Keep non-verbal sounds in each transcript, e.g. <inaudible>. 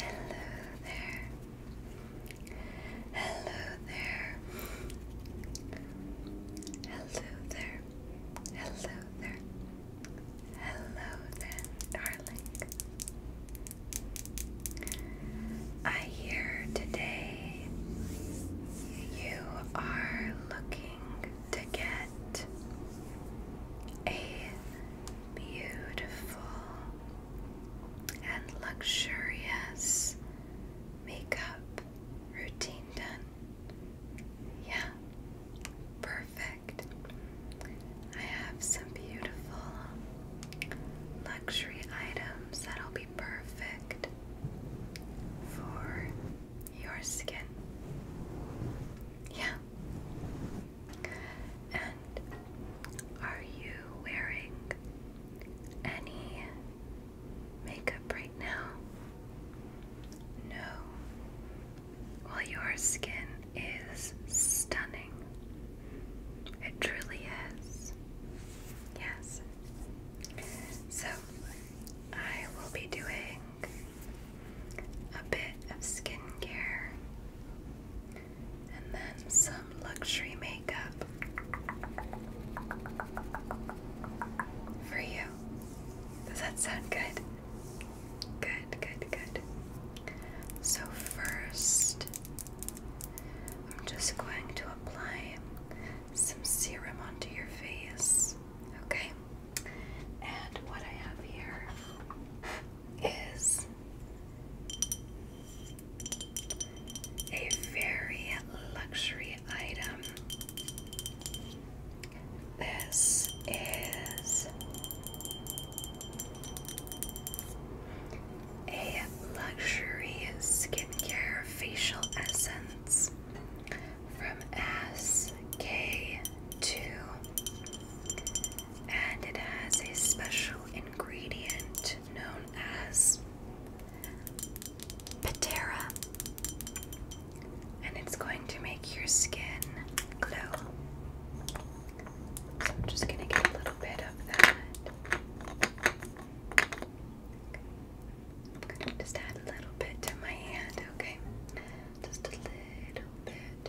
Hello there. Hello there. Hello there. Hello there. Hello then, darling. I hear today you are looking to get a beautiful and luxurious makeup routine done. Yeah, perfect. I have some beautiful luxury items that'll be perfect for your skin. Yeah, and are you wearing any makeup right now? No. Well, your skin is stunning. It truly is. Yes. So, I will be doing a bit of skincare, and then some luxury makeup for you. Does that sound good? Good, good, good. So, first, I'm just going to apply some serum onto your face, okay? And what I have here is a very luxury item. This is a luxury skincare facial essence from S K two and it has a special ingredient known as Patera, and it's going to make your skin glow. So I'm just going to get a little bit of that. just add a little bit to my hand, okay? Just a little bit.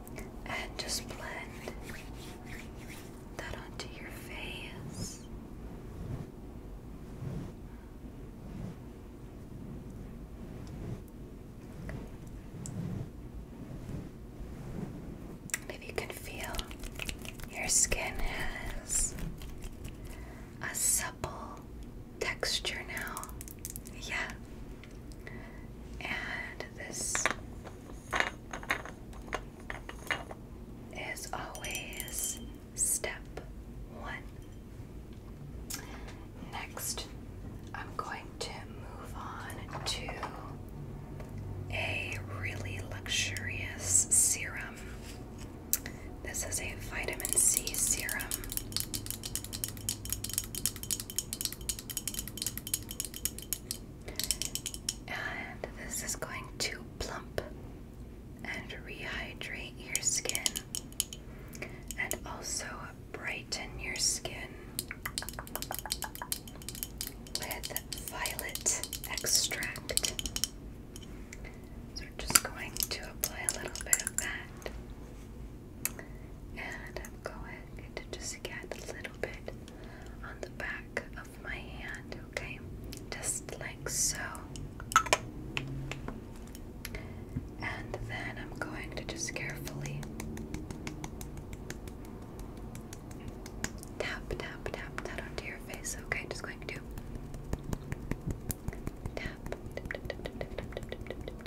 and just blend that onto your face. Maybe you can feel your skin has a supple texture now. Yeah, and this is always step one. Next, I'm going to move on to a really luxurious serum. This is a vitamin C serum. And this is going to plump and rehydrate your skin and also brighten your skin with violet extract. So, we're just going to apply a little bit of that and I'm going to just get a little bit on the back of my hand, okay? Just like so. And then I'm going to just carefully tap, tap, tap tap onto your face, okay? Just going to tap, tap, tap, tap, tap, tap, tap, tap, tap,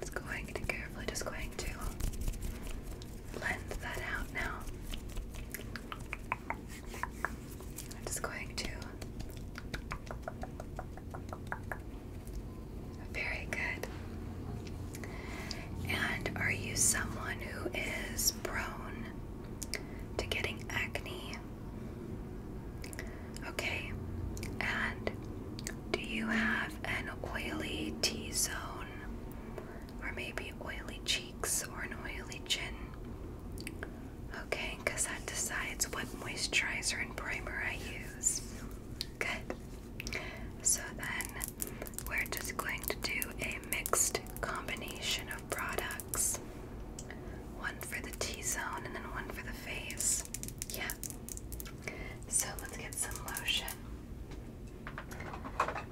It's going to carefully, just going to blend that out now. just going to. Very good. And are you someone who is prone to getting acne? Okay, and do you have an oily T zone? Or maybe oily cheeks or an oily chin? Okay, because that decides what moisturizer and primer I use. Good. So then we're just going to do a mixed combination of products. One for the T-zone and then one for the face. Yeah. So let's get some lotion.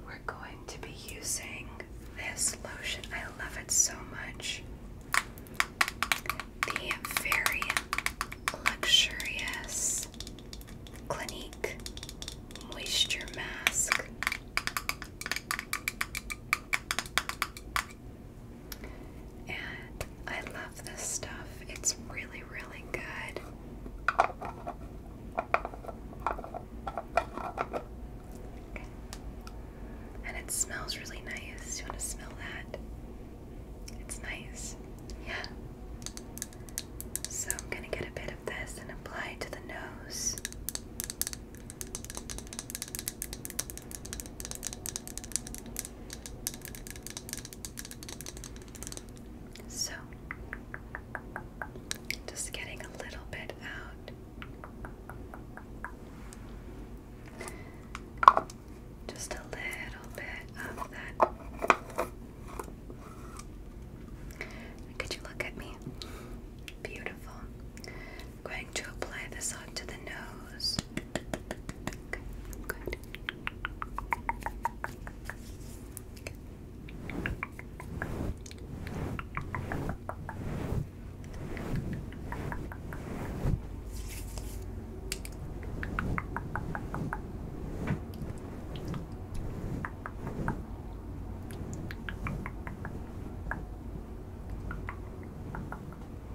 We're going to be using this lotion. I love it so much. The very luxurious Clinique Moisture Mask. And I love this stuff. It's really, really good. And it smells really nice. You want to smell that? It's nice. Yeah. So I'm going to get a bit of this and apply it to the nose. So, just getting a little bit out, just a little bit of that. Could you look at me? Beautiful. I'm going to apply this onto the nose.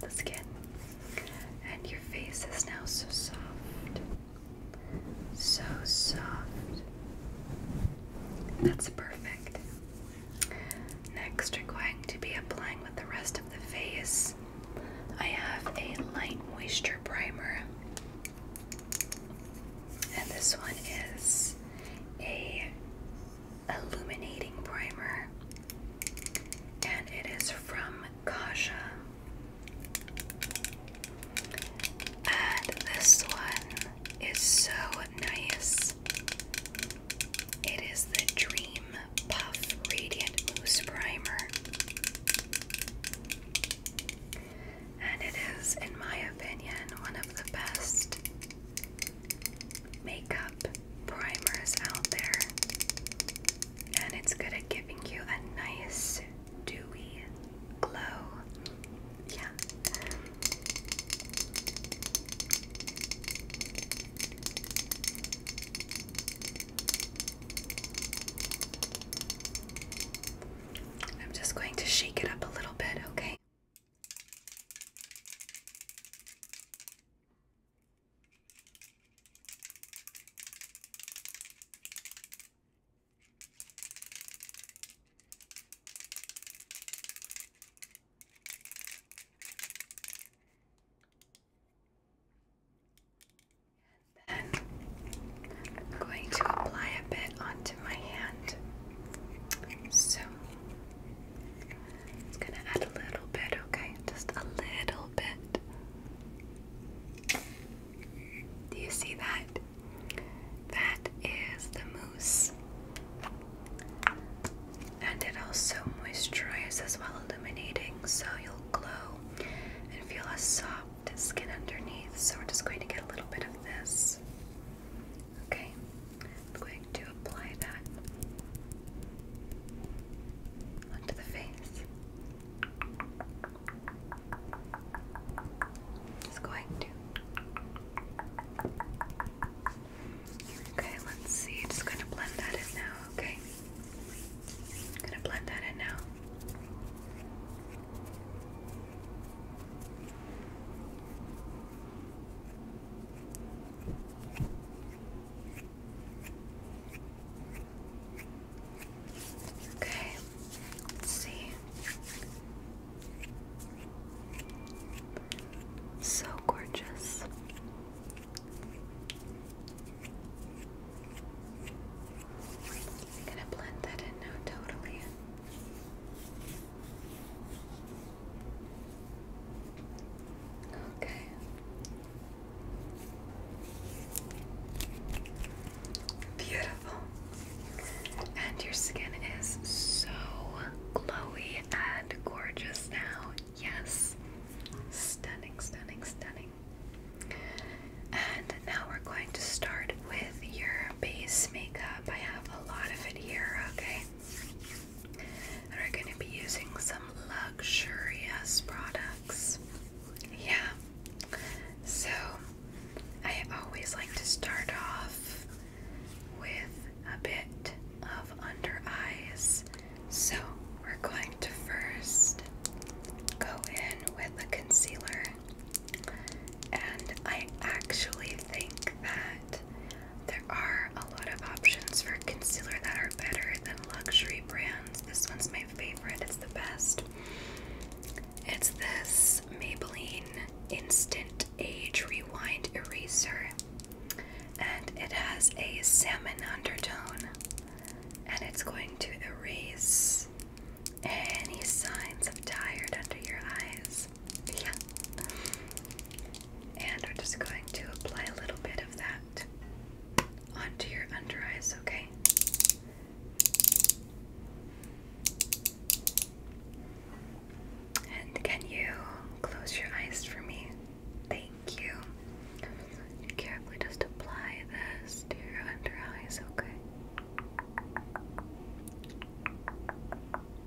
the skin. And your face is now so soft. So soft. That's perfect. Next, we are going to be applying with the rest of the face. I have a light moisture primer, and this one is a illuminating primer and it is from Kasha. And this one is so nice. It is the Dream Puff Radiant Mousse Primer and it is, in my opinion, one of the best makeup primers out there. And it's good at giving you a nice, dewy glow. Yeah. I'm just going to shake it up a little bit, okay? then I'm going to apply a bit onto my hand. So it's gonna add a little bit, okay? Just a little bit. Do you see that? That is the mousse. And it also moisturizes as well, illuminating, so you'll glow and feel a soft skin underneath. So we're just going to get a little bit of this. Okay, I'm going to apply that onto the face. Just going to. Okay, let's see. Just going to blend that in now, okay? I'm going to blend that in now. Okay, let's see. So gorgeous. gonna blend that in now totally. Okay. Beautiful. And your skin is so glowy and gorgeous now. Yes. Stunning, stunning, stunning. And now we're going to start with your base makeup. I have a lot of it here, okay? we're going to be using some luxurious products. Yeah. So, I always like to start off with a bit of under eyes. So, we're going to first go in with the concealer. And I actually think that there are a lot of options for concealer that are better than luxury brands. This one's my favorite, it's the best. It's this Maybelline Instant Age Rewind Eraser, and it has a salmon undertone, and it's going to erase any signs of tired under your eyes. Yeah. And we're just going to apply a little bit of that onto your under eyes, okay? And can you close your eyes for me? Thank you. carefully just apply this to your under eyes, okay?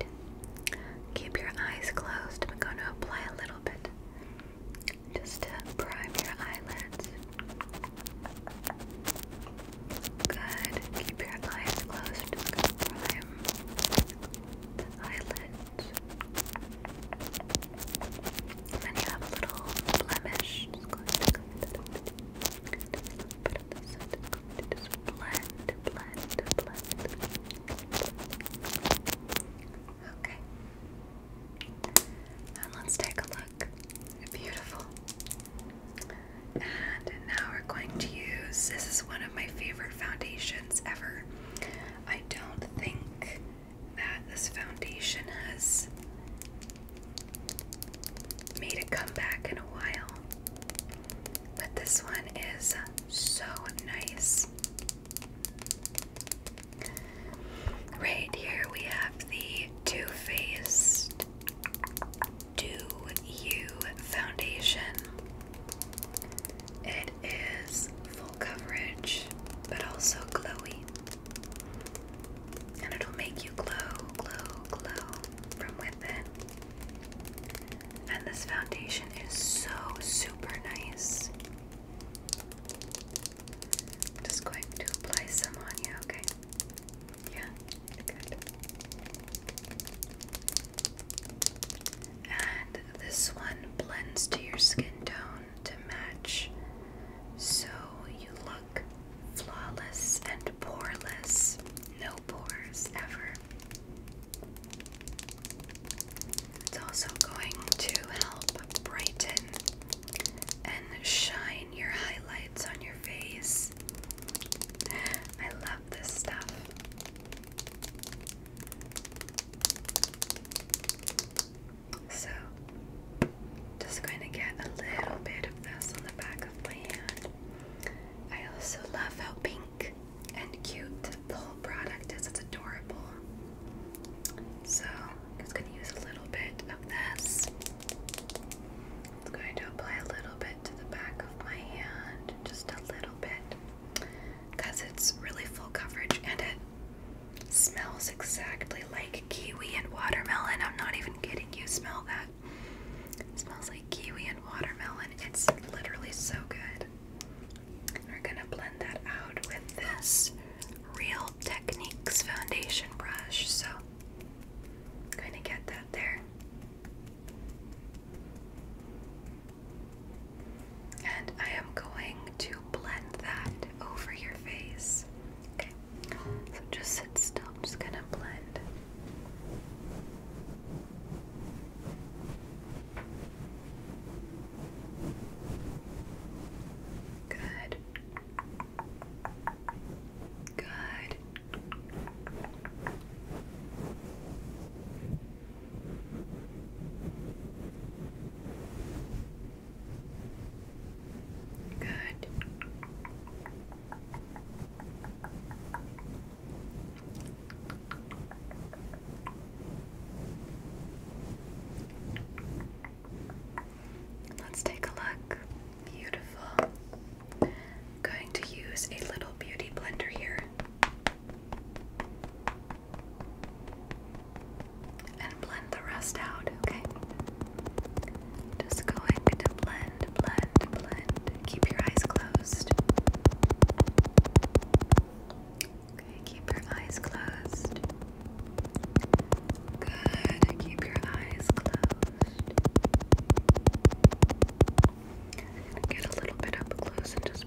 And keep your eyes closed. I'm going to apply a little bit just to prime your eyelids. Good. Keep your eyes closed. Prime the eyelids. And you have a little blemish. Just go ahead, go ahead. Put this side. Just go ahead. blend, blend, blend. Okay. And let's take a look. Beautiful. And now we're going to use this is one of my favorite foundations ever. I don't think that this foundation has made a comeback in a while, but this one is so nice. Right here we have the Too Faced Do You Foundation. It is full coverage, but also glowy. And it'll make you glow, glow, glow from within. And this foundation is so super nice. just going to apply some on you, okay? Yeah, good and this one blends to your skin tone to match so you look flawless and poreless. No pores ever. It's also going to help brighten and shine your highlights on your face. I love this stuff. So, just going to get a little bit of this on the back of my hand. I also love how pink and cute the whole product is. It's adorable. So, I'm just going to use a little bit of this. I'm going to apply a little bit to the back of my hand, just a little bit because it's really full coverage and it smells exactly like kiwi and watermelon. I'm not even kidding you. Smell that. It smells like kiwi and watermelon. It's literally so good. We're gonna blend that out with this Real Techniques foundation brush. So gonna get that there. And I am going to blend that over your face. Okay, so just sit still. I'm just gonna blend. Good. Good. Good. Let's take a look. Beautiful. going to use a little beauty blender here and blend the rest out, okay? Just going to blend, blend, blend. Keep your eyes closed. Okay, keep your eyes closed. Good, keep your eyes closed. Get a little bit up close and just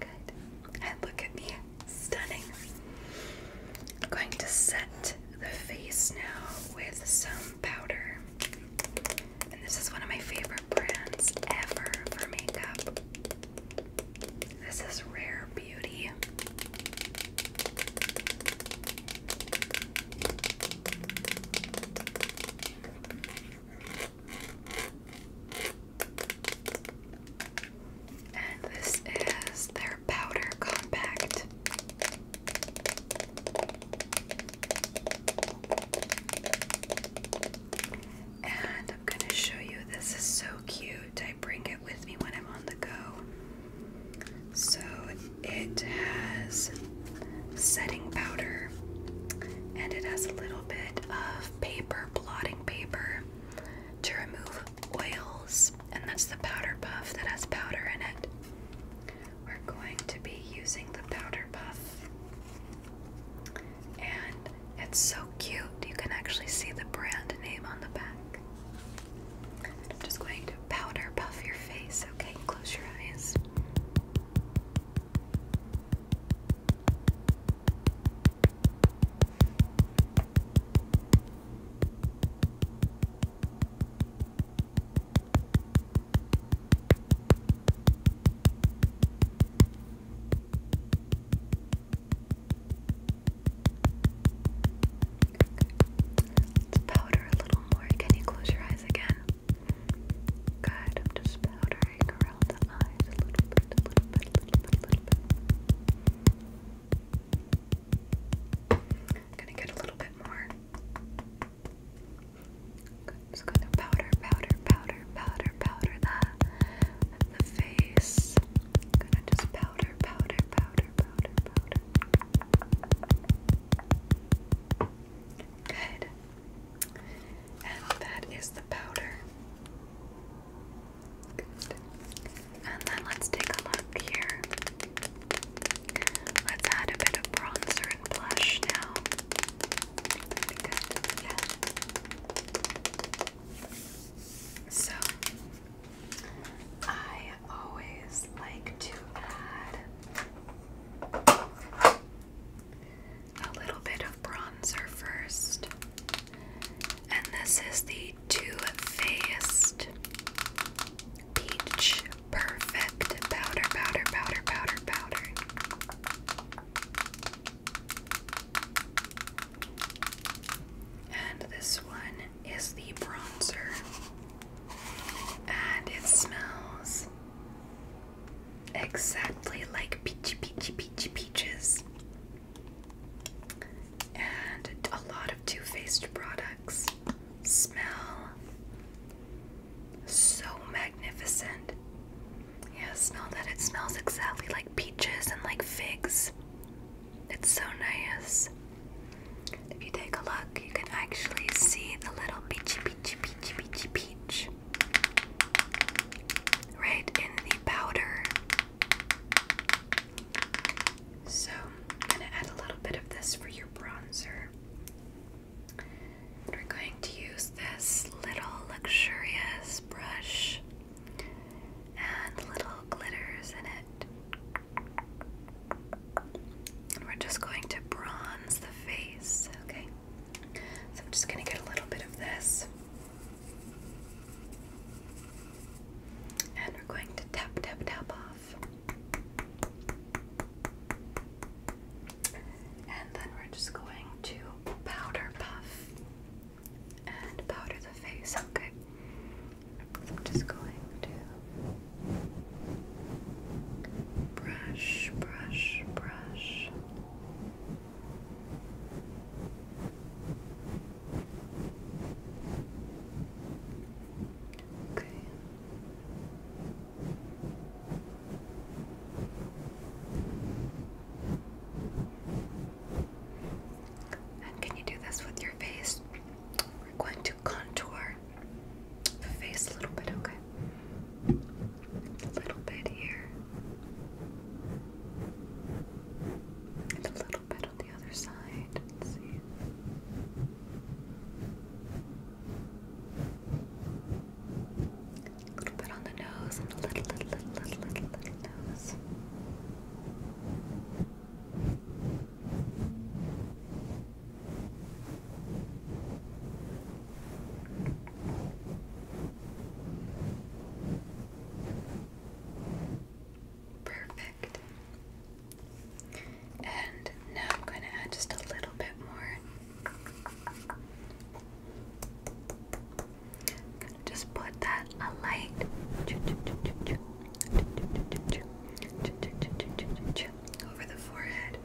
Good. And look at me. Stunning. I'm going to set the face now with some powder. And this is one of my favorite brands ever for makeup. This is Rare Beauty. And this is their powder compact. And I'm going to show you this is so cute. I bring it with me when I'm on the go. So it has setting powder and it has a little bit of paper, blotting paper to remove oils, and that's the powder puff that has powder in it. We're going to be using the powder puff, and it's so cute. You can actually see the brand name on the back. I'm just going to powder puff your face, okay? Close your eyes powder a little more. Can you close your eyes again? Good, I'm just powdering layering around gonna get a little bit more. just gonna powder, powder, powder, powder, powder that the face. gonna just powder, powder, powder, powder, powder. Good. And that is the powder. And then let's take a look here. Let's add a bit of bronzer and blush now. So, I always like to add a little bit of bronzer first. And this is the Too Faced Peach Perfect Powder, Powder, Powder, Powder, Powder. And this one is the bronzer. And it smells exactly like peachy, peachy, peachy, peaches and a lot of Too Faced products. Smell so magnificent. Yeah, smell that. It smells exactly like peaches and like figs. It's so nice. If you take a look, you can actually see the little peachy, peachy, peachy, peachy, peach right in the powder. So, I'm going to add a little bit of this for your bronzer. We're going to use this little luxurious brush and little glitters in it. And we're just going to bronze the face, okay? So, I'm just going to get a little bit of this. And we're going to tap, tap, tap off. And then we're just going to powder puff and powder the face. Okay. I'm just going to brush, brush, brush. Okay. And can you do this with your face? We're going to contour the face a little bit, okay? A little bit here a little bit on the other side. Let's see. A little bit on the nose and a little, little, little, little, little, nose. Perfect. And now I'm going to add just a little bit more. just put that a light. Over the forehead.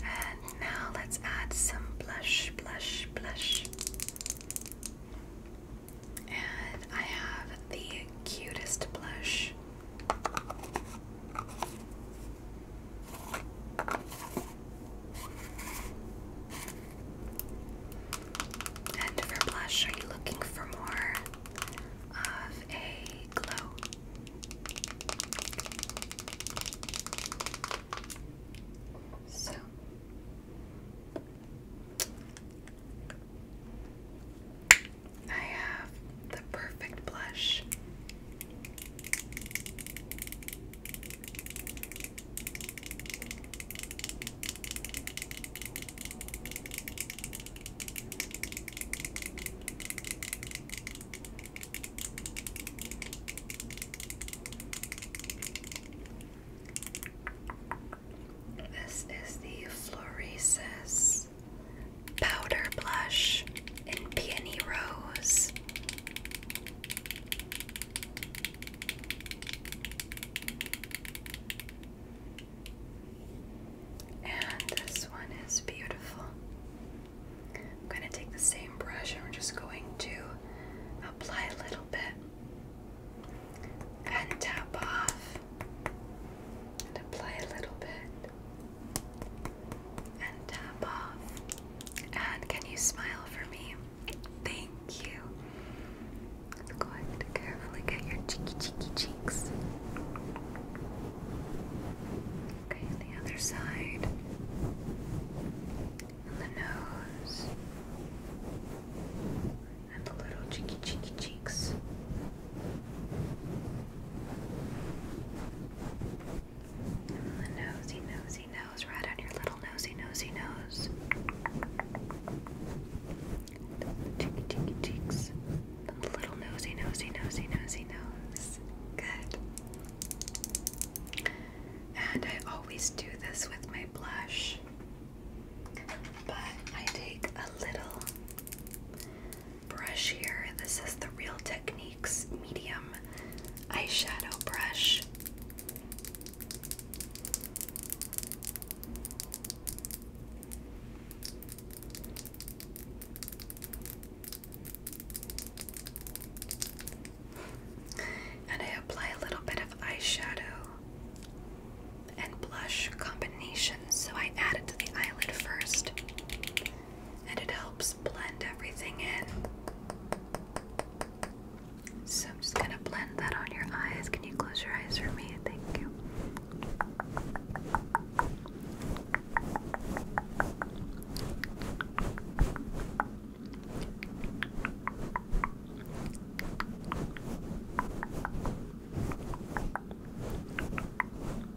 And now let's add some blush, blush, blush. And I have the cutest blush. And for blush, are you looking for more of a glow? So. I have the perfect blush this is the Floresis powder blush and peony rose. And this one is beautiful. I'm going to take the same brush and we're just going to apply a little bit and tap off and apply a little bit and tap off. And can you smile for me? Thank you. Go ahead, carefully get your cheeky, cheeky cheeks. Okay, the other side, and the nose, and the little cheeky, cheeky cheeks. The nosy, nosy nose, right on your little nosy, nosy nose. cheeky, cheeky cheeks. little nosy, nosy, nosy, nosy nose. Good. And I always do this with my blush, but I take a little brush here. This is the Real Techniques Medium Eyeshadow Brush. And I apply a little bit of eyeshadow and blush combination, so I add it to the eyelid first and it helps blend everything in. So I'm just gonna blend that on your eyes. Can you close your eyes for me? Thank you.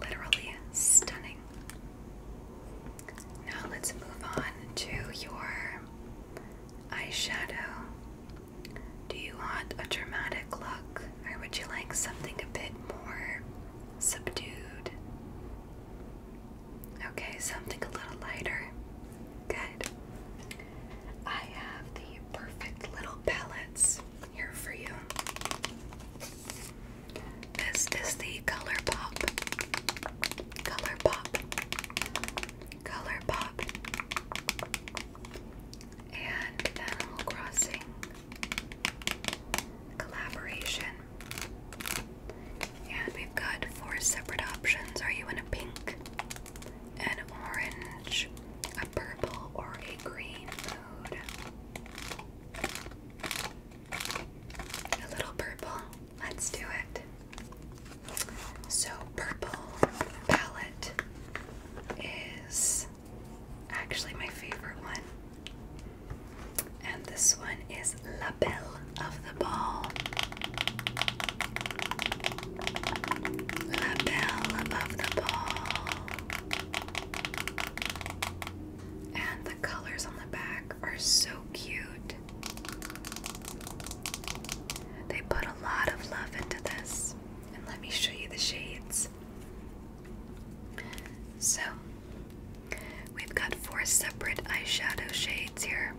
literally stunning. Now let's move on to your eyeshadow. Do you want a dramatic look or would you like something a bit more subdued? Okay, something a little lighter. Good. I have the perfect little palettes here for you. This is the ColourPop. ColourPop. ColourPop. And Animal Crossing collaboration. And we've got four separate options. Are you in a pink, an orange, a purple, or a green mood? A little purple. Let's do it. So, purple palette is actually my favorite one. And this one is La Belle of the Ball. La Belle above the Ball and the colors on the back are so cute. They put a lot of love into this, and let me show you the shades. So, we've got four separate eyeshadow shades here.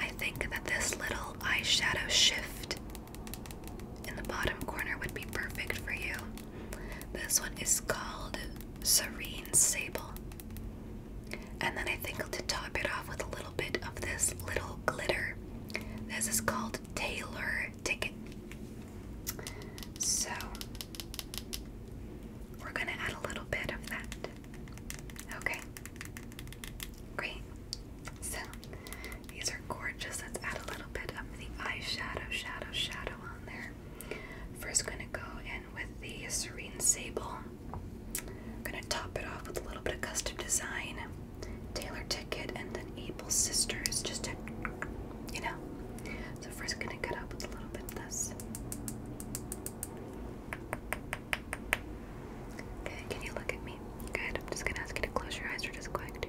I think that this little eyeshadow shift in the bottom corner would be perfect for you. This one is called Serene Sable. And then I think to top it off with a little bit of this little glitter. This is called Taylor Ticket. So we're going to add a little bit of that. Okay. Great. So these are gorgeous. Let's add a little bit of the eyeshadow, shadow, shadow on there. First, gonna go in with the Serene Sable. I'm gonna top it off with a little bit of custom design, Taylor Ticket, and then Able Sisters, just to, you know. So first, gonna cut up with a little bit of this. Okay, can you look at me? Good. I'm just gonna ask you to close your eyes for just quick.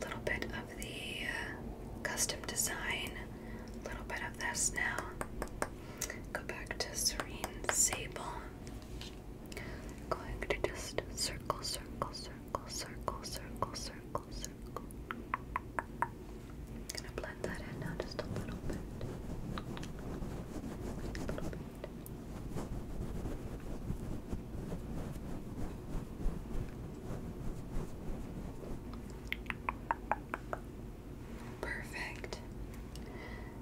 little bit of the uh, custom design, little bit of this now. Go back to Serene Sable. Going to just circle, circle, circle, circle, circle, circle, circle. Gonna blend that in now just a little bit. A little bit. Perfect.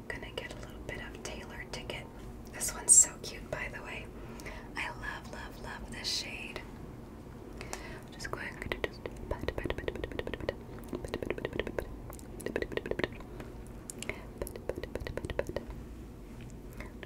Gonna get a little bit of Taylor Ticket. This one's so cute, by the way. I love, love, love this shade. Just going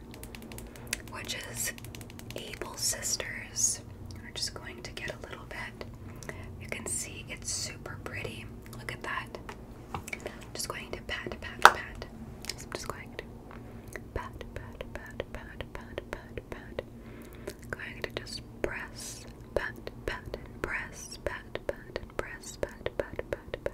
Sister, which is Able Sisters. We're just going to get a little bit. You can see it's super pretty. Look at that. I'm just going to pat, pat, pat. So I'm just going to pat, pat, pat, pat, pat, pat, pat. I'm going to just press, pat, pat, and press, pat, pat, and press, pat, pat, pat, pat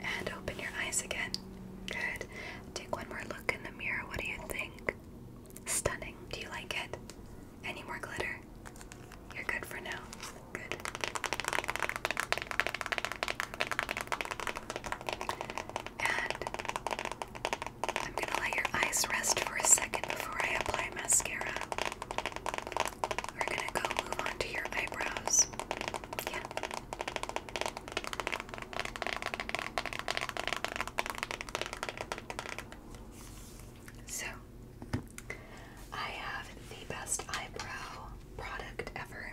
And open your eyes again. Good. Take one more look in the mirror. What do you think? Stunning. Do you like it? Any more glitter? You're good for now. Good. And I'm going to let your eyes rest for a second before I apply mascara. We're gonna go move on your eyebrows. Yeah. So, I have the best eyebrow product ever.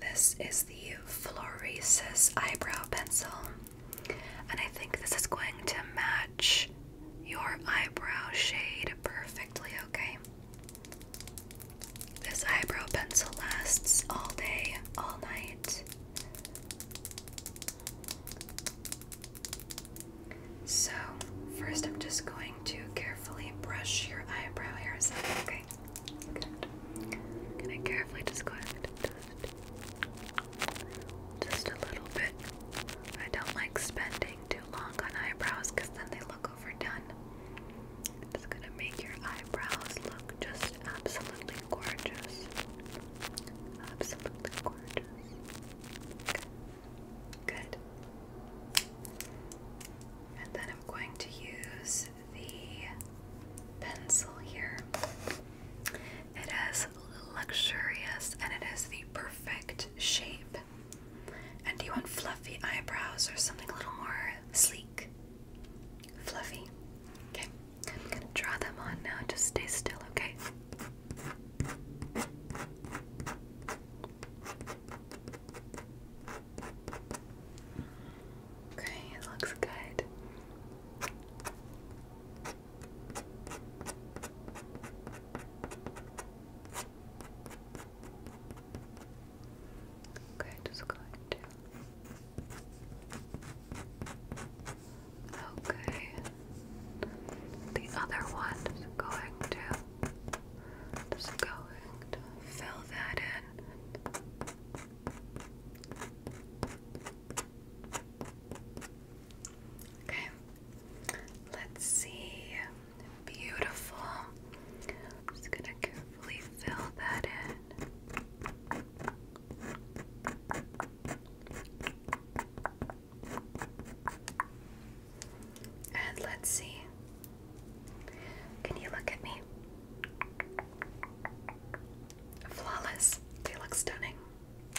This is the Floresis eyebrow pencil, and I think this is going to match your eyebrow shade perfectly, okay? This eyebrow pencil lasts all day, all night. So, first I'm just going to carefully brush your eyebrow hairs up, okay? Good. i carefully just go Just a little bit. I don't like spending too long on eyebrows because then they look overdone. It's gonna make your eyebrows look just absolutely gorgeous. Absolutely gorgeous. Good. And then I'm going to use the pencil here. It is luxurious and it is the perfect shape. And do you want fluffy eyebrows or something a little more sleek? Fluffy. Okay. I'm gonna draw them on now. Just stay still, okay? Okay, it looks good. Okay, just going to. Okay. The other one is going to. Just going to fill that in. Okay, let's see. Beautiful. just gonna carefully fill that in. And let's see. Can you look at me? Flawless. They look stunning.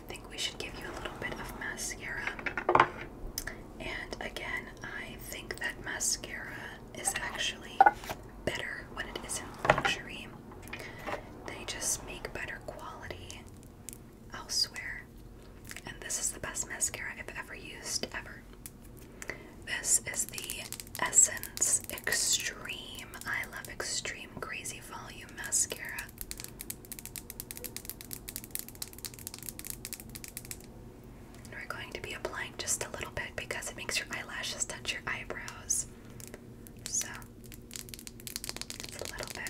I think we should give you a little bit of mascara. And again, I think that mascara is actually better when it isn't luxury. They just make better quality elsewhere. And this is the best mascara I've ever used, ever. This is the Essence Extreme. I love Extreme Crazy Volume Mascara we're going to be applying just a little bit because it makes your eyelashes touch your eyebrows. So, just a little bit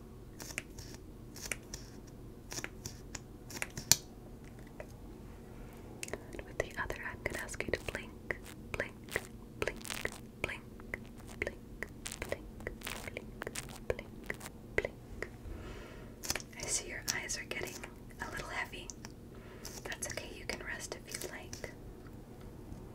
with the other, I'm ask you to blink, blink, blink, blink, blink, blink, blink, blink, blink. I see your eyes are getting a little heavy. That's okay, you can rest if you like.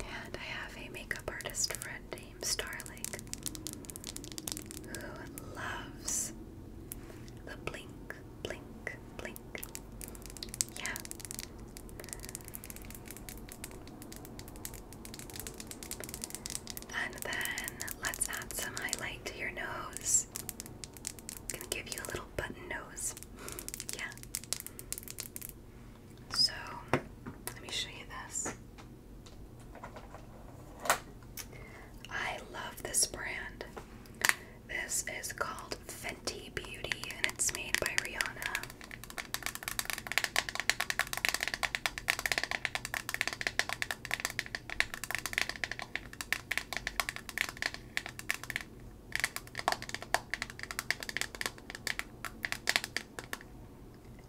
And I have a makeup artist friend named Starling who loves the blink, blink, blink. Yeah. And then let's add some highlight to your nose. gonna give you a little button nose. <laughs> yeah. So let me show you this. I love this brand. This is called Fenty Beauty and it's made by Rihanna.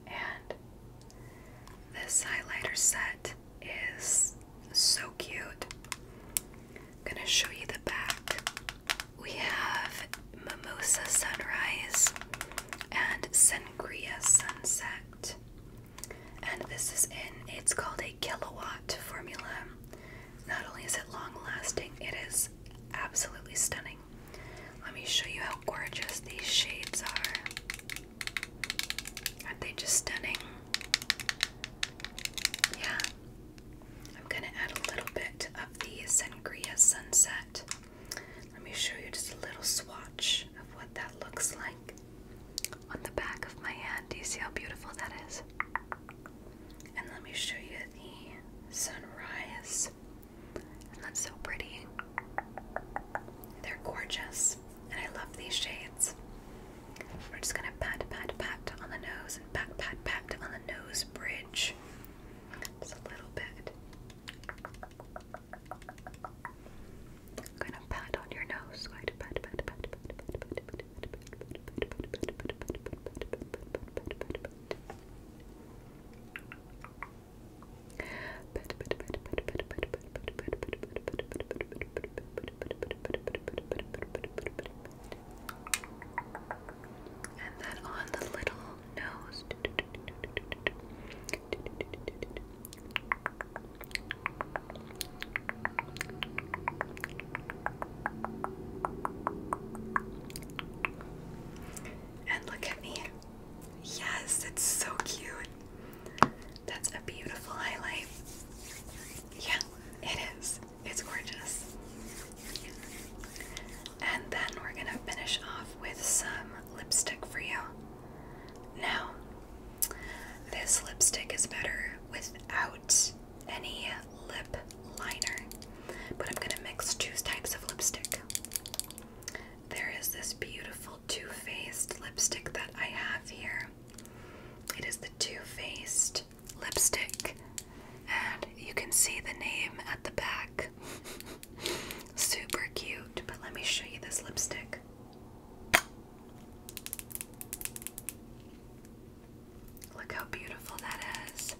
And this highlighter set is so cute. I'm gonna show you the back. We have Mimosa Sunrise and Sangria Sunset. And this is in, it's called a kilowatt formula. Not only is it long lasting, it is absolutely stunning. Let me show you how gorgeous these shades are. Aren't they just stunning? Yeah. I'm going to add a little bit of the Sangria Sunset. Let me show you just a little swatch of what that looks like on the back of my hand. Do you see how beautiful that is? And let me show you the sunrise. that's so pretty. They're gorgeous. And I love these shades. We're just gonna pat, pat, pat on the nose and pat, pat, pat on the nose bridge. Just a little bit. I'm gonna pat on your nose. pat, pat, pat, pat, pat, pat, pat, pat, and then on the little nose. And look at me. Yes, it's so cute. That's a beautiful highlight. Yeah, it is. It's gorgeous. And then we're going to finish off with some lipstick for you. Now, this lipstick is better without any lip liner, but I'm gonna mix two types of lipstick. There is this beautiful Too Faced lipstick that I have here. It is the Too Faced lipstick, and you can see the name at the back. <laughs> Super cute, but let me show you this lipstick. Look how beautiful that is.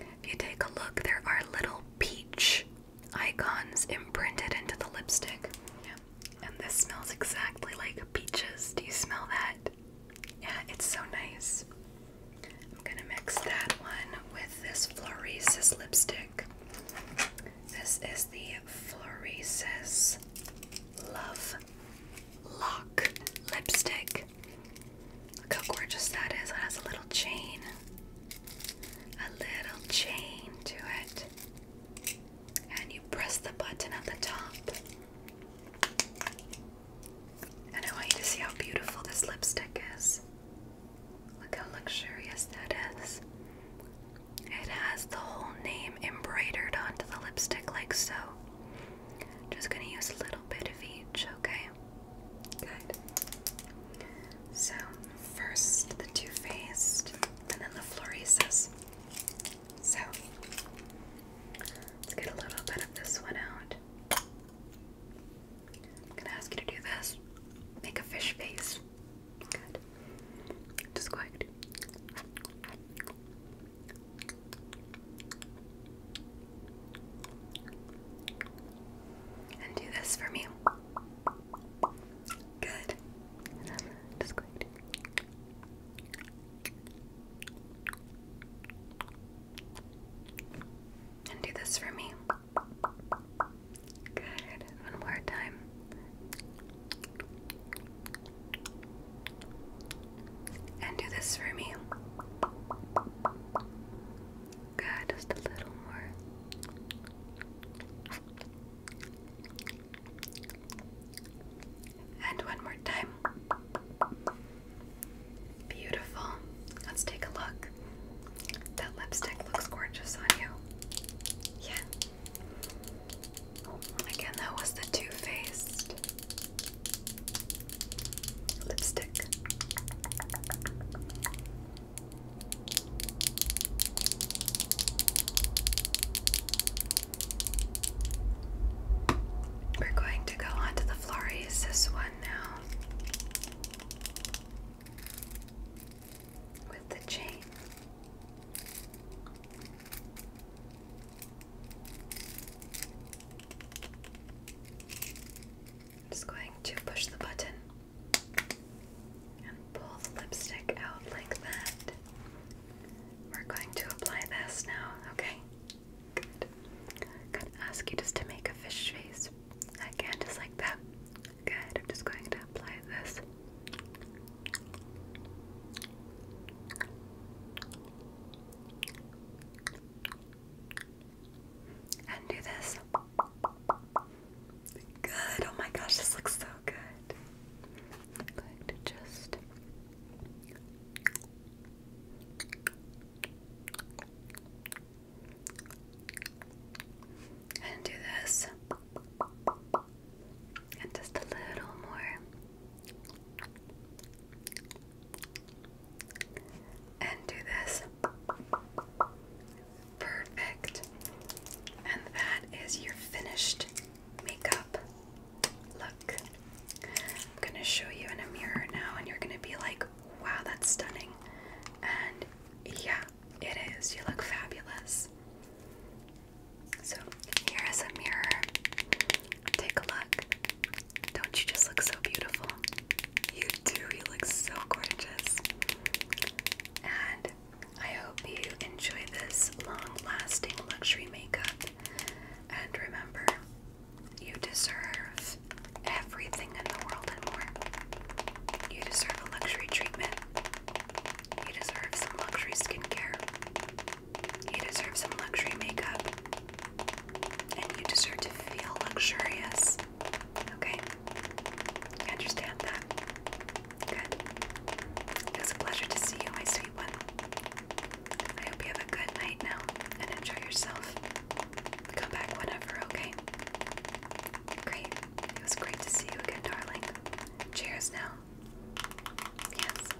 If you take a look, there are little peach icons imprinted into the lipstick. And this smells exactly like peaches. Do you smell that? Yeah, it's so nice. I'm gonna mix that one with this Floresis lipstick. This is the Floresis Love Lock lipstick look how gorgeous that is. It has a little chain, a little chain to it. And you press the button at the top. And I want you to see how beautiful this lipstick is. Look how luxurious that is. It has the whole name embroidered onto the lipstick, like so. Just gonna use a little bit of each, okay? Good. So, first the Too Faced, and then the Floresis. So, let's get a little bit of this one out. I'm gonna ask you to do this. Make a fish face. Good. Just quiet. And do this for me. Good. just going And do this for me. Good. One more time. And do this for me. Good, just a little more. And one more time. Beautiful. Let's take a look. That lipstick looks gorgeous on you. Yeah. Oh, again, that was the Too Faced Lipstick. We're going to go on to the Floriesis one now. With the chain. I'm just going to push the button and pull the lipstick out like that. We're going to apply this now, okay? Good. i ask you just to make a fish face. Again, just like that. Good. I'm just going to apply this. And do this. Good. Oh my gosh, this looks so good. going to just and do this. And just a little more and do this. Perfect. And that is your finished makeup look. I'm going to show you in a mirror now, and you're going to be like, wow, that's stunning. And yeah, it is. You look fabulous. So, here is a mirror. Take a look. Don't you just look so beautiful? You do, you look so gorgeous. And I hope you enjoy this long lasting luxury makeup. And remember, you deserve everything in the world and more. You deserve a luxury treatment. You deserve some luxury skincare. You deserve some luxury makeup. And you deserve to feel luxurious. Okay? You understand that? Good. It was a pleasure to see you, my sweet one. I hope you have a good night now and enjoy yourself. Come back whenever, okay? Great. It was great to see you again, darling. Cheers now. Yes.